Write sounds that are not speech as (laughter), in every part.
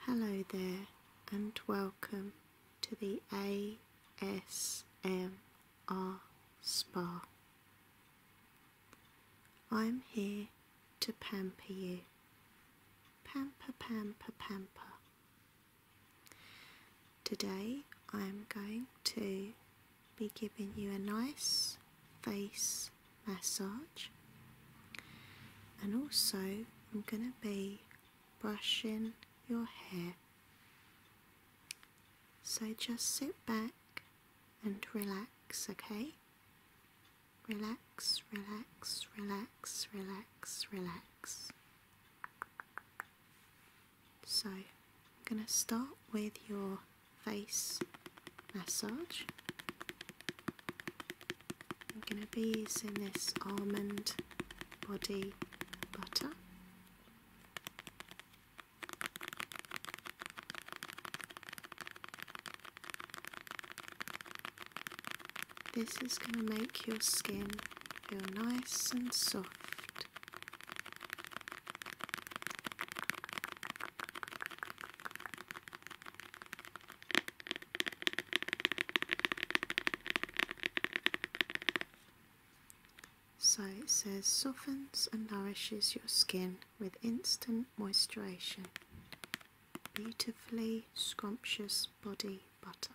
Hello there, and welcome to the ASMR Spa. I'm here to pamper you. Pamper, pamper, pamper. Today I'm going to be giving you a nice face massage and also I'm going to be brushing your hair. So just sit back and relax, okay? Relax, relax, relax, relax, relax. So I'm going to start with your face massage. I'm going to be using this almond body butter. This is going to make your skin feel nice and soft. So it says softens and nourishes your skin with instant moisturization. Beautifully scrumptious body butter.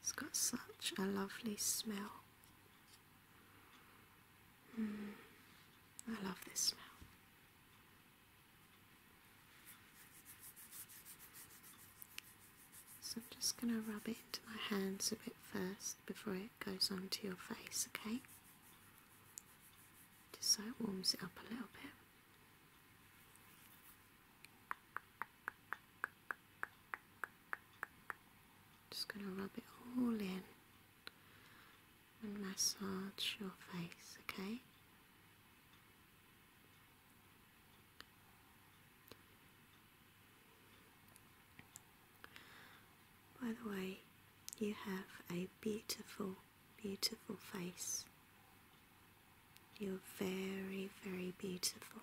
It's got such a lovely smell. Hmm, I love this smell. So I'm just going to rub it into my hands a bit first before it goes onto your face, okay? Just so it warms it up a little bit. Just going to rub it all in and massage your face, okay? By the way, you have a beautiful, beautiful face. You're very, very beautiful.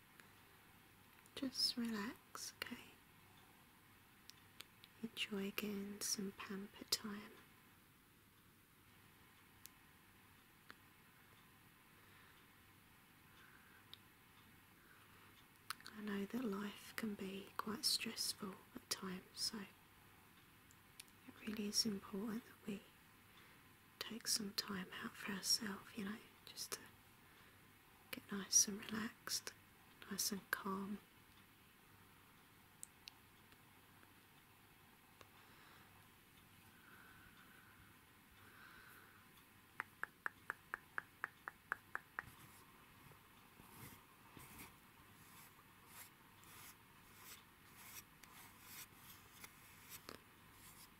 Just relax, okay? Enjoy getting some pamper time. I know that life can be quite stressful at times, so it really is important that we take some time out for ourselves, you know, just to get nice and relaxed, nice and calm.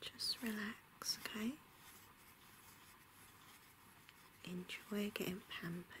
Just relax, okay? Enjoy getting pampered.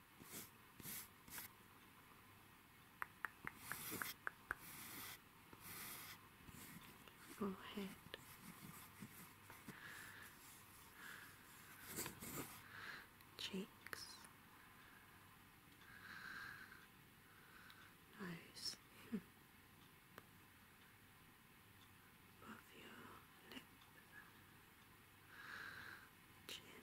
forehead. Cheeks, nose, hmm. above your lip, chin,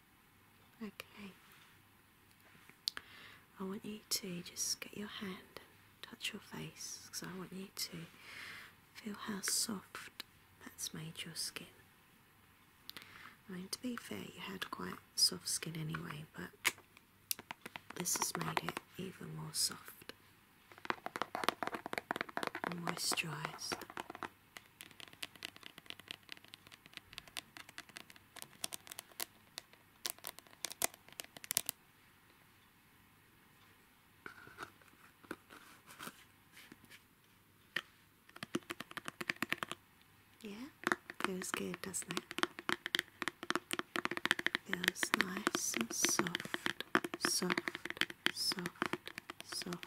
Okay. I want you to just get your hand and touch your face because I want you to feel how soft that's made your skin. I mean, to be fair, you had quite soft skin anyway, but this has made it even more soft moisturised. Yeah, feels good, doesn't it? Feels nice and soft, soft, soft, soft,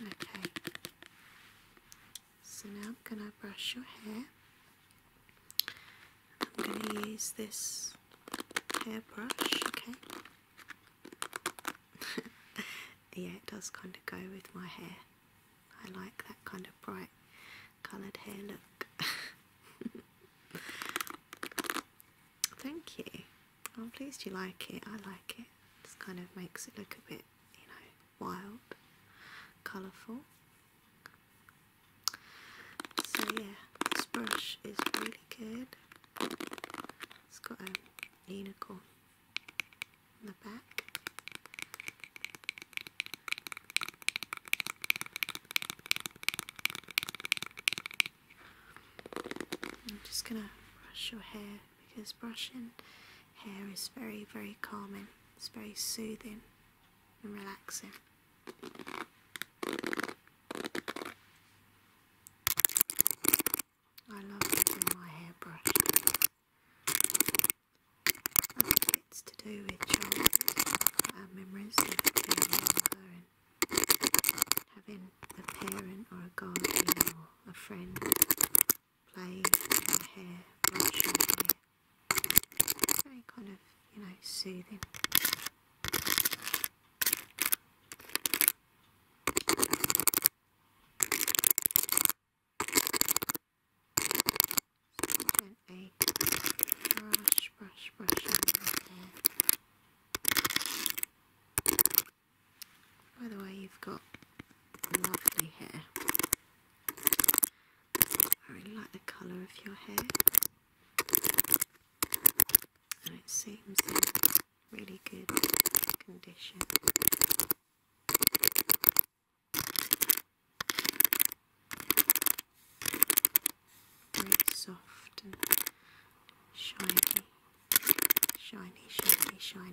Okay, so now I'm going to brush your hair. I'm going to use this hairbrush, okay? (laughs) yeah, it does kind of go with my hair. I like that kind of bright coloured hair look. (laughs) Thank you. I'm oh, pleased you like it. I like it. This kind of makes it look a bit, you know, wild, colourful. So yeah, this brush is really good. It's got a unicorn in the back. I'm just gonna brush your hair because brushing hair is very, very calming, it's very soothing and relaxing. I love doing my hairbrush. I think it's to do with childhood, our memories of being having a parent or a guardian or a friend play with hair, brush your kind of, you know, soothing. gently brush, brush, brush your hair. By the way, you've got lovely hair. I really like the colour of your hair. And it seems in really good condition very soft and shiny, shiny, shiny, shiny.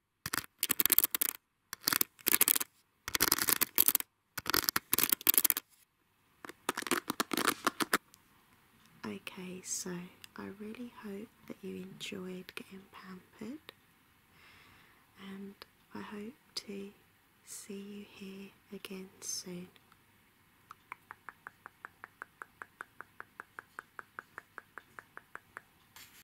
Okay, so I really hope that you enjoyed getting pampered, and I hope to see you here again soon.